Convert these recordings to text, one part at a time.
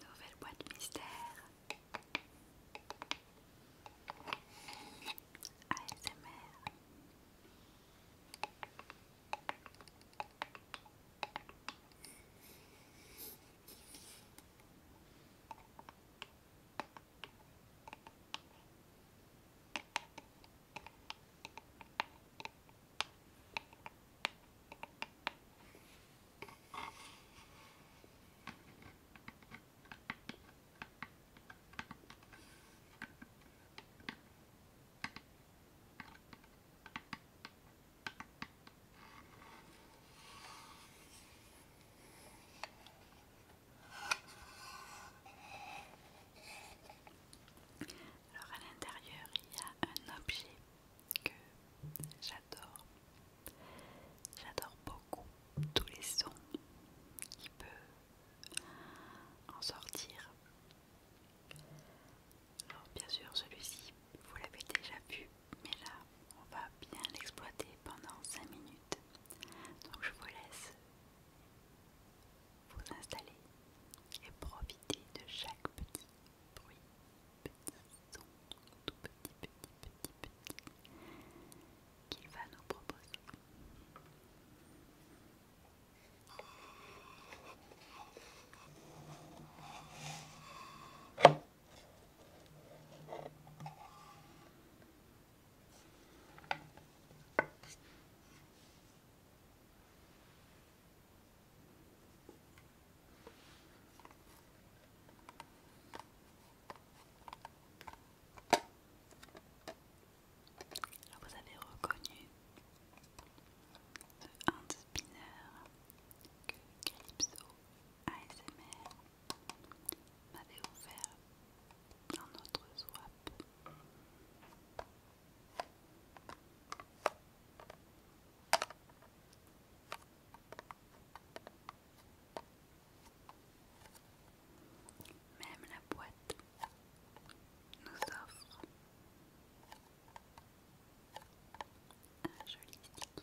Nouvelle boîte mystère. ASMR. Alors à l'intérieur, il y a un objet que j'adore. J'adore beaucoup tous les sons qui peuvent en sortir. Alors bien sûr celui-ci, vous l'avez déjà vu, mais là on va bien l'exploiter pendant 5 minutes. Donc je vous laisse vous installer et profiter de chaque petit bruit, petit son, tout petit, petit, petit, petit qu'il va nous proposer. Vous avez reconnu un hand spinner que Calypso ASMR m'avait offert un autre swap. Même la boîte nous offre un joli sticky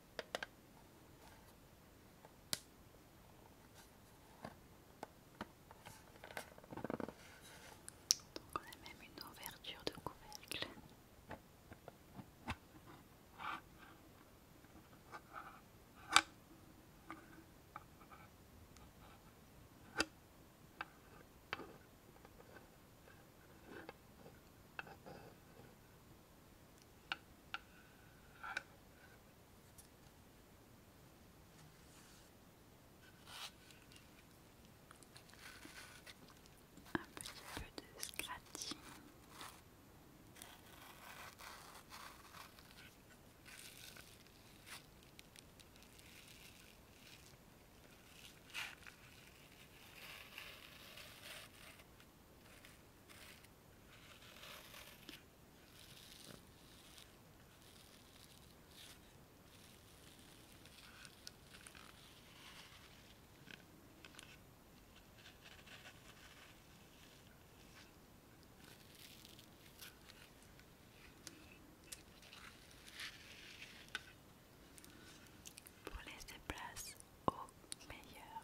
on a même une ouverture de couvercle. Un petit peu de scratching. Pour laisser place au meilleur.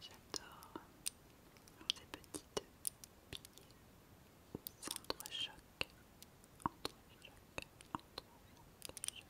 J'adore ces petites billes s'entrechoquent,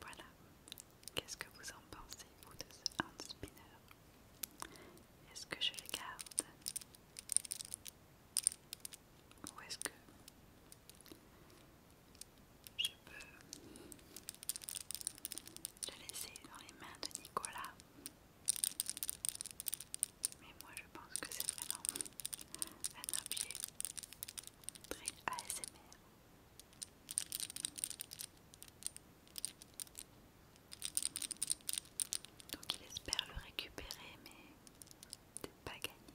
Voilà. Qu'est-ce que vous en pensez, vous, de ce hand spinner Est-ce que je le garde Ou est-ce que je peux le laisser dans les mains de Nicolas mais moi je pense que c'est vraiment un objet très ASMR. Donc il espère le récupérer, mais peut-être pas gagné.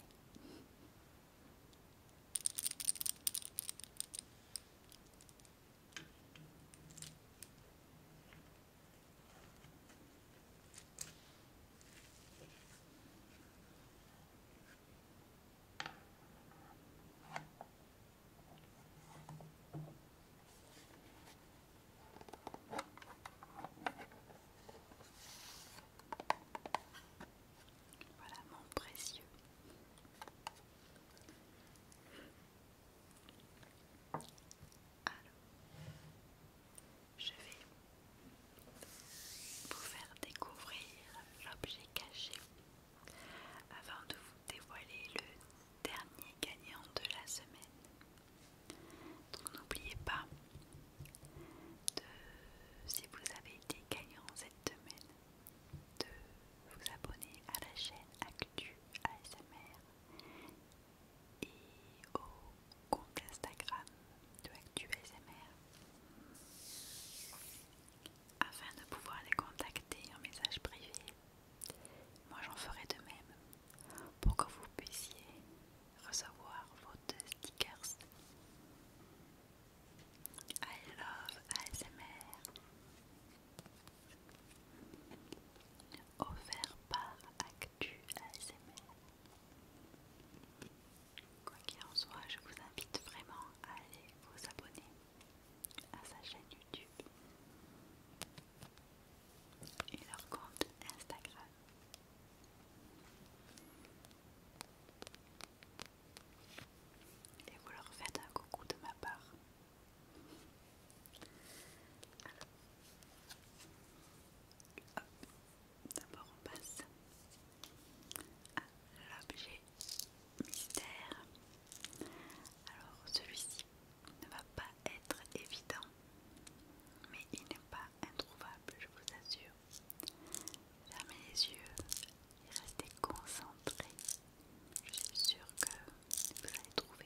Voilà mon précieux. Alors, je vais vous faire découvrir l'objet caché avant de vous dévoiler le dernier gagnant de la semaine. Donc n'oubliez pas de, si vous avez été gagnant cette semaine, de vous abonner à la chaîne Actu ASMR et au compte Instagram de ActuASMR afin de pouvoir les contacter en message privé. Moi j'en ferai de même pour que vous puissiez recevoir vos deux stickers. I love ASMR offert par Actu ASMR. Quoi qu'il en soit, je vous invite vraiment à aller vous abonner à sa chaîne YouTube et leur compte Instagram. Et vous leur faites un coucou de ma part. D'abord on passe à l'objet mystère. Alors celui-ci ne va pas être évident, mais il n'est pas introuvable, je vous assure. Fermez les yeux et restez concentrés. Je suis sûre que vous allez trouver.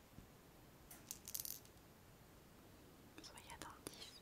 Soyez attentifs.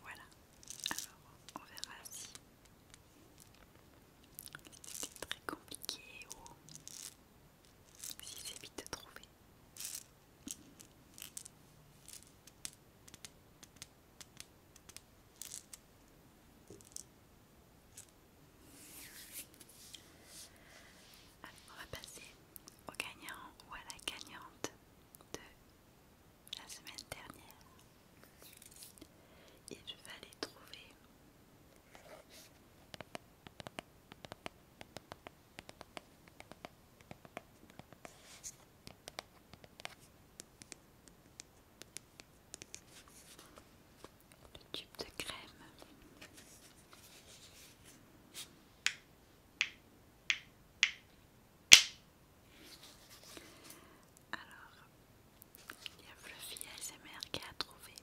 Voilà, alors on verra si c'était très compliqué ou si c'est vite de trouver. on va passer au gagnant ou à la gagnante de la semaine dernière. et je vais fallait trouver le tube de crème. Alors, il y a Fluffy ASMR qui a trouvé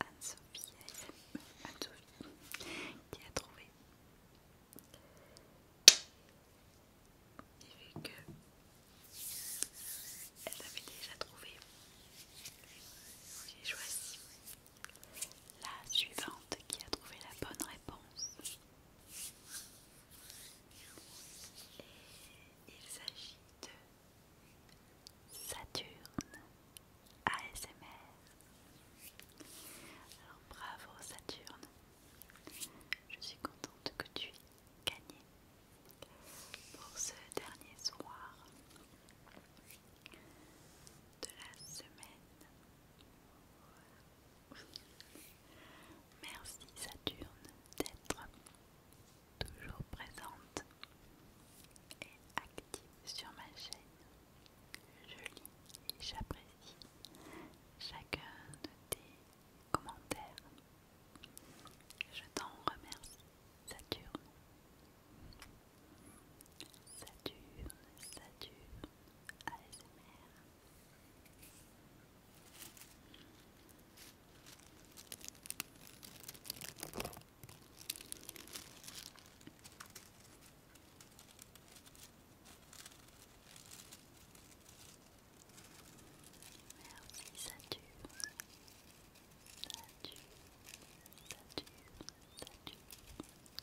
Anne-Sophie Anne qui a trouvé. Et vu que elle avait déjà trouvé, j'ai choisi la suivante qui a trouvé la bonne réponse. Et il s'agit de Saturne ASMR. Alors bravo Saturne. Je suis contente que tu aies gagné pour ce dernier soir de la semaine. Merci Saturne d'être toujours présente et active sur ma chaîne. Je lis et j'apprécie chacun de tes commentaires. Je t'en remercie Saturne. Saturne, Saturne, ASMR. Merci Saturne. Saturne, Saturne, Saturne.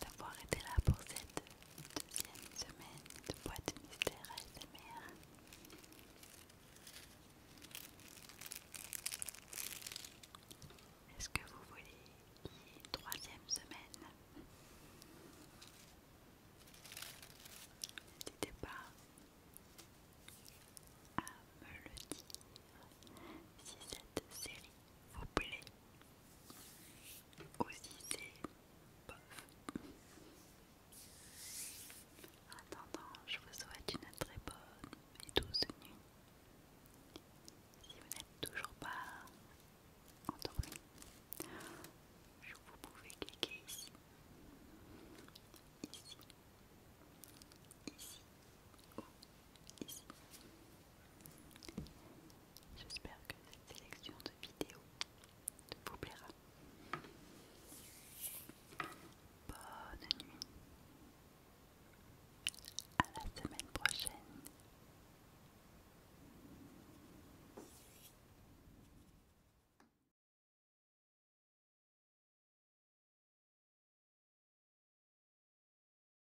d'avoir été là pour cette deuxième semaine de boîte mystère ASMR. Est-ce que vous voulez une troisième semaine N'hésitez pas à me le dire si cette série vous plaît. Aussi c'est En attendant, je vous souhaite une très bonne et douce nuit. Si vous n'êtes toujours pas endormi, vous pouvez cliquer ici, ici, ici ou ici. J'espère que cette sélection de vidéos vous plaira. Bonne nuit. À la semaine prochaine.